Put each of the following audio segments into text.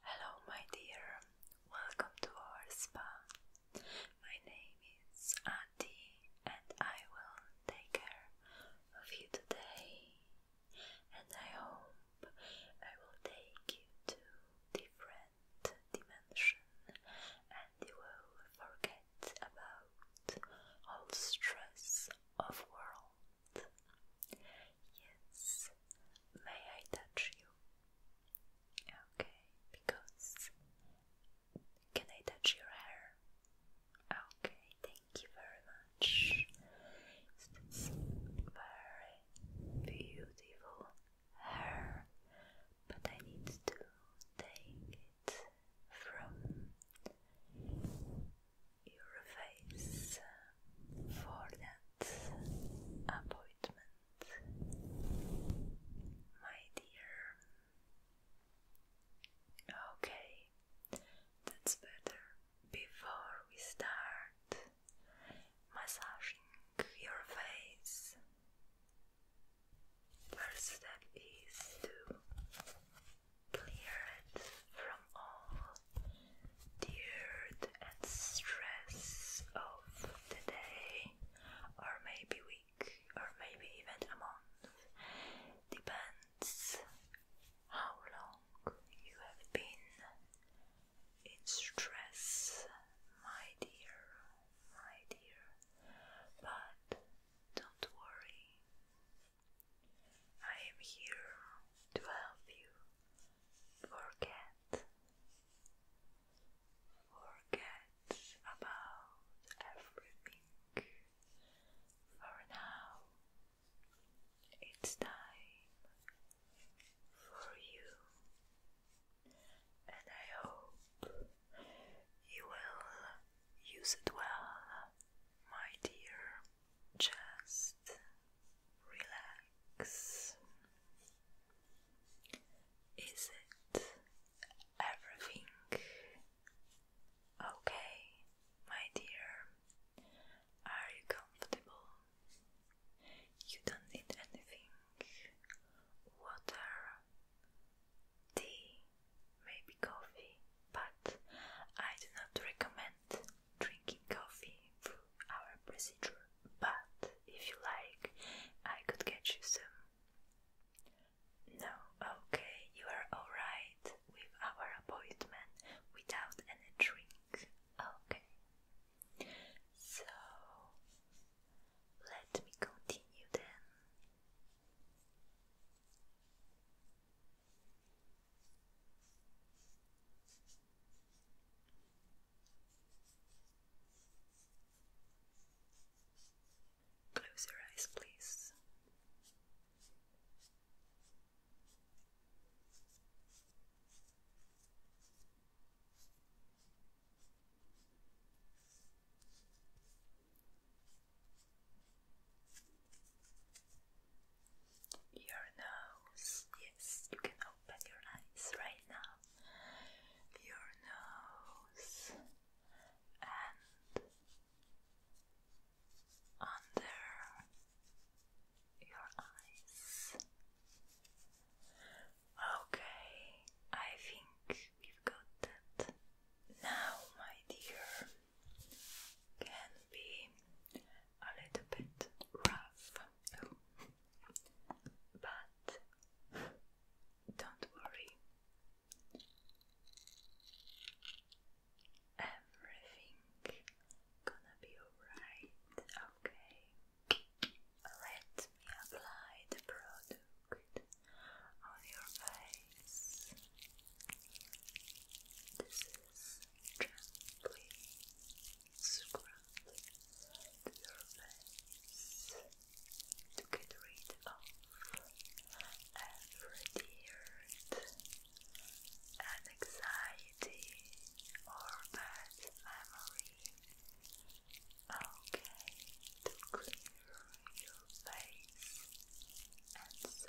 Hello, my dear. Welcome to our spa. My name is Adi, and I will take care of you today and I hope I will take you to different dimension and you will forget about all stress of world. Yes, may I touch you? Okay, because can I touch your hair? Okay thank you very much. It's very beautiful hair, but I need to take it from your face for that appointment, my dear. Okay, that's better. Before we start massaging your face, first step is to clear it from all dirt and stress of the day, or maybe week, or maybe even a month, depends how long you have been in stress, my dear, my dear. But don't worry, I am here to help you forget. Forget about everything. For now, it's time for you, and I hope you will use it well, my dear. Just relax. Is it everything Okay, my dear, are you comfortable? You don't need anything. Water, tea, maybe coffee, but I do not recommend drinking coffee through our procedure. But if you like, I could get you some. No, okay, you are alright with our appointment without any drink. Okay. So let me continue then. Close your eyes, please. Your nose, yes, you can open your eyes right now. Your nose and under your eyes. Okay, I think we've got that. Now, my dear, can be a little bit rough, but don't worry, Everything gonna be alright. Okay. Let me apply the product on your face. This is gently scrubbing your face to get rid of every and anxiety or bad memory. Okay, to clear your face and so.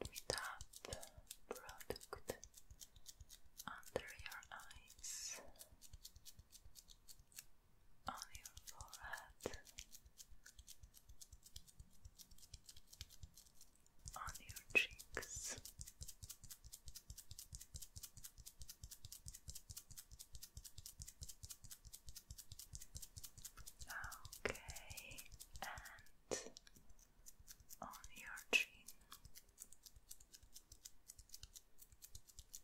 Let me tap product under your eyes on your forehead, on your cheeks. Okay, and on your chin,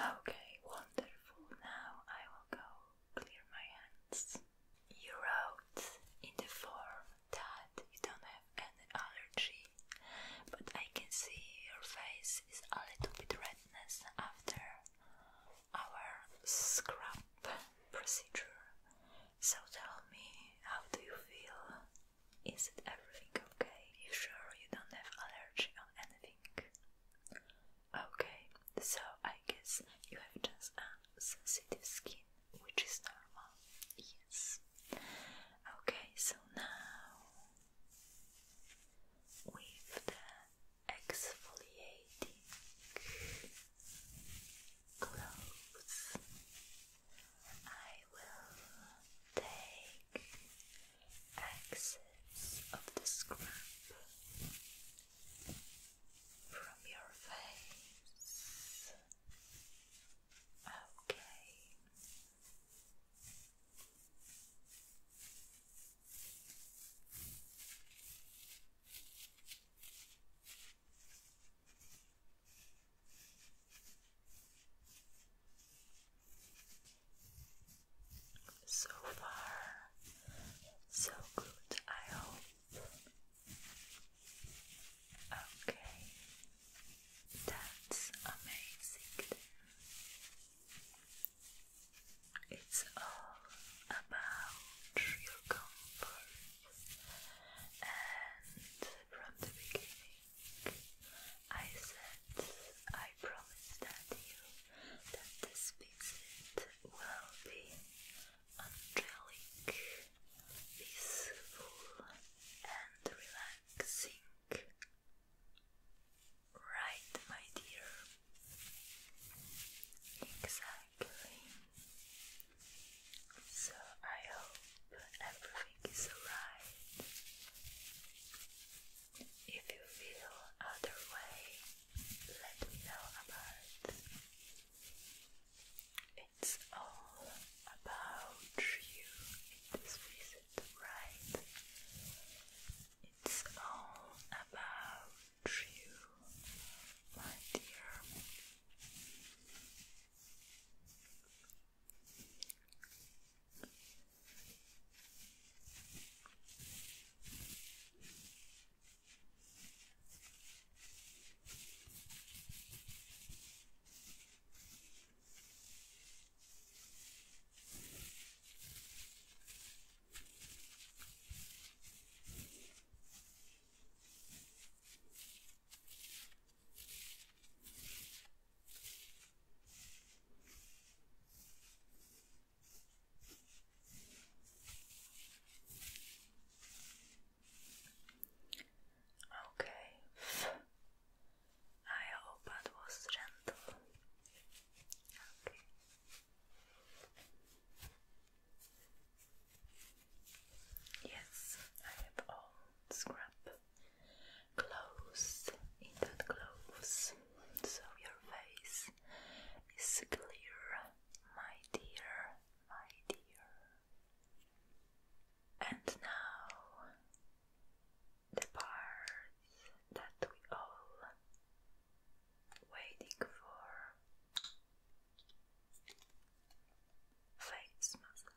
Okay, wonderful. Now I will go clear my hands. You wrote in the form that you don't have any allergy, but I can see your face is a little bit redness after our scrub procedure. So tell me, how do you feel? Is it everything okay? You sure you don't have allergy or anything? Okay, so I guess you have just sensitive skin, which is normal. Yes. Okay, so now with the exfoliating gloves. I will take excess of the scrub from your face. Okay. So far, so good, I hope. Okay, that's amazing. It's all about your comfort, and from the beginning, I said I promise that you that this visit will be angelic, peaceful, and relaxing. Right, my dear Exactly. So I hope everything is alright. If you feel other let me know about it. It's all about you in this right? It's all about true, my dear. Okay, I hope that was gentle. Yes, I have all scrap clothes in clothes, so your face is clear, my dear, my dear. And now the part that we all waiting for face massage.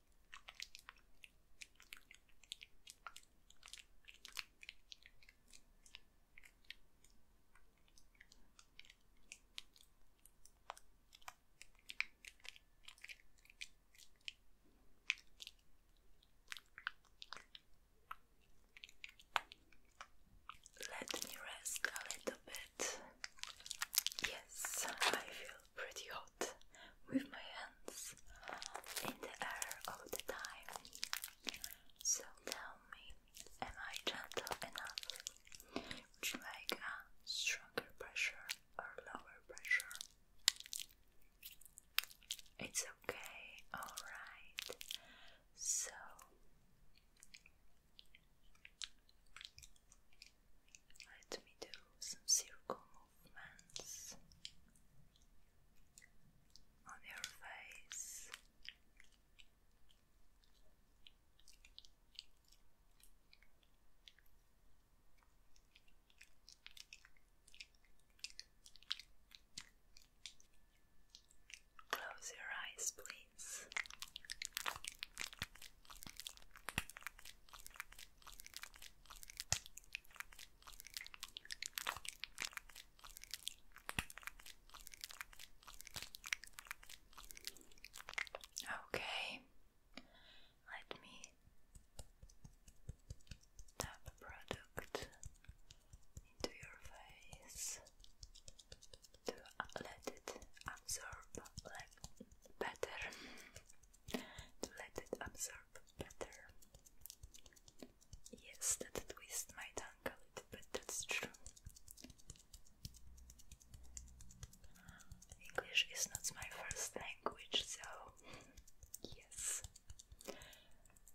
Let me rest a little bit Yes, I feel pretty hot with my hands in the air all the time. So tell me, am I gentle enough? Would you like a stronger pressure or lower pressure? It's okay, alright. So let me do some circle movements on your face. Close your eyes, please. Okay, let me tap product into your face to let it absorb better to let it absorb better. Yes, that twist my tongue a little bit, that's true. English is not my first language, so yes.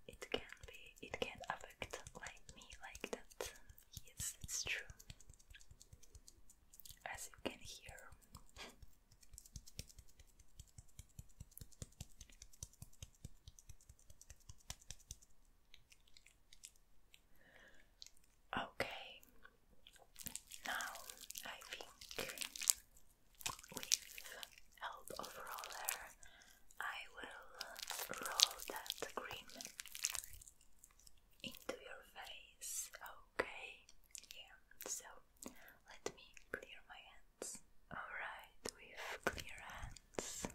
It can be it can affect like me like that. Yes, it's true as you can hear. Okay, now I think with help of roller I will roll that cream into your face. Okay, yeah, so let me clear my hands. Alright, with clear hands.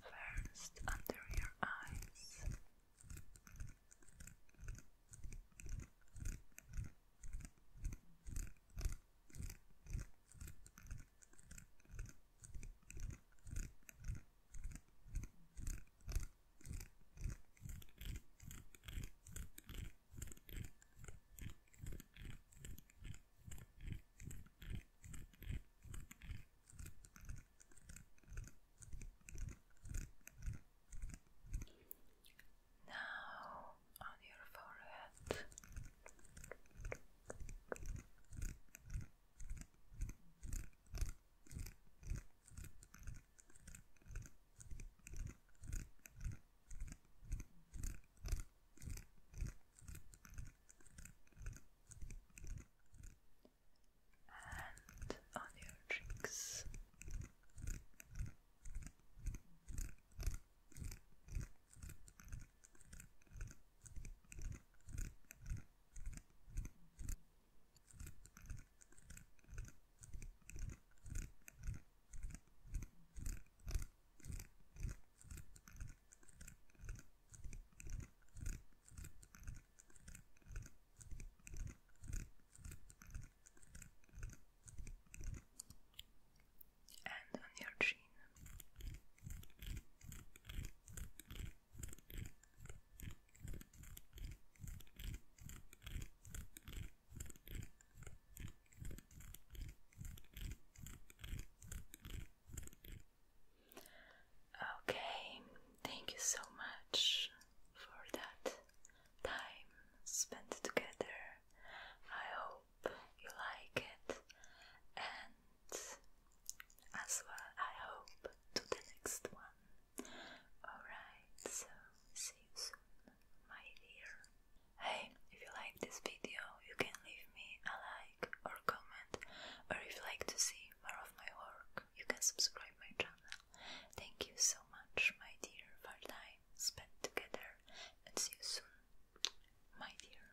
First, under your eyes. Now on your forehead and on your cheeks and on your chin. Okay, thank you so much for that time spent together. I hope you like it and as well, I hope, to the next one. Alright, so see you soon, my dear. Hey, if you like this video, you can leave me a like or comment, or if you like to see more of my work, you can subscribe my channel. Thank you so much, my dear, for time spent together, and see you soon, my dear.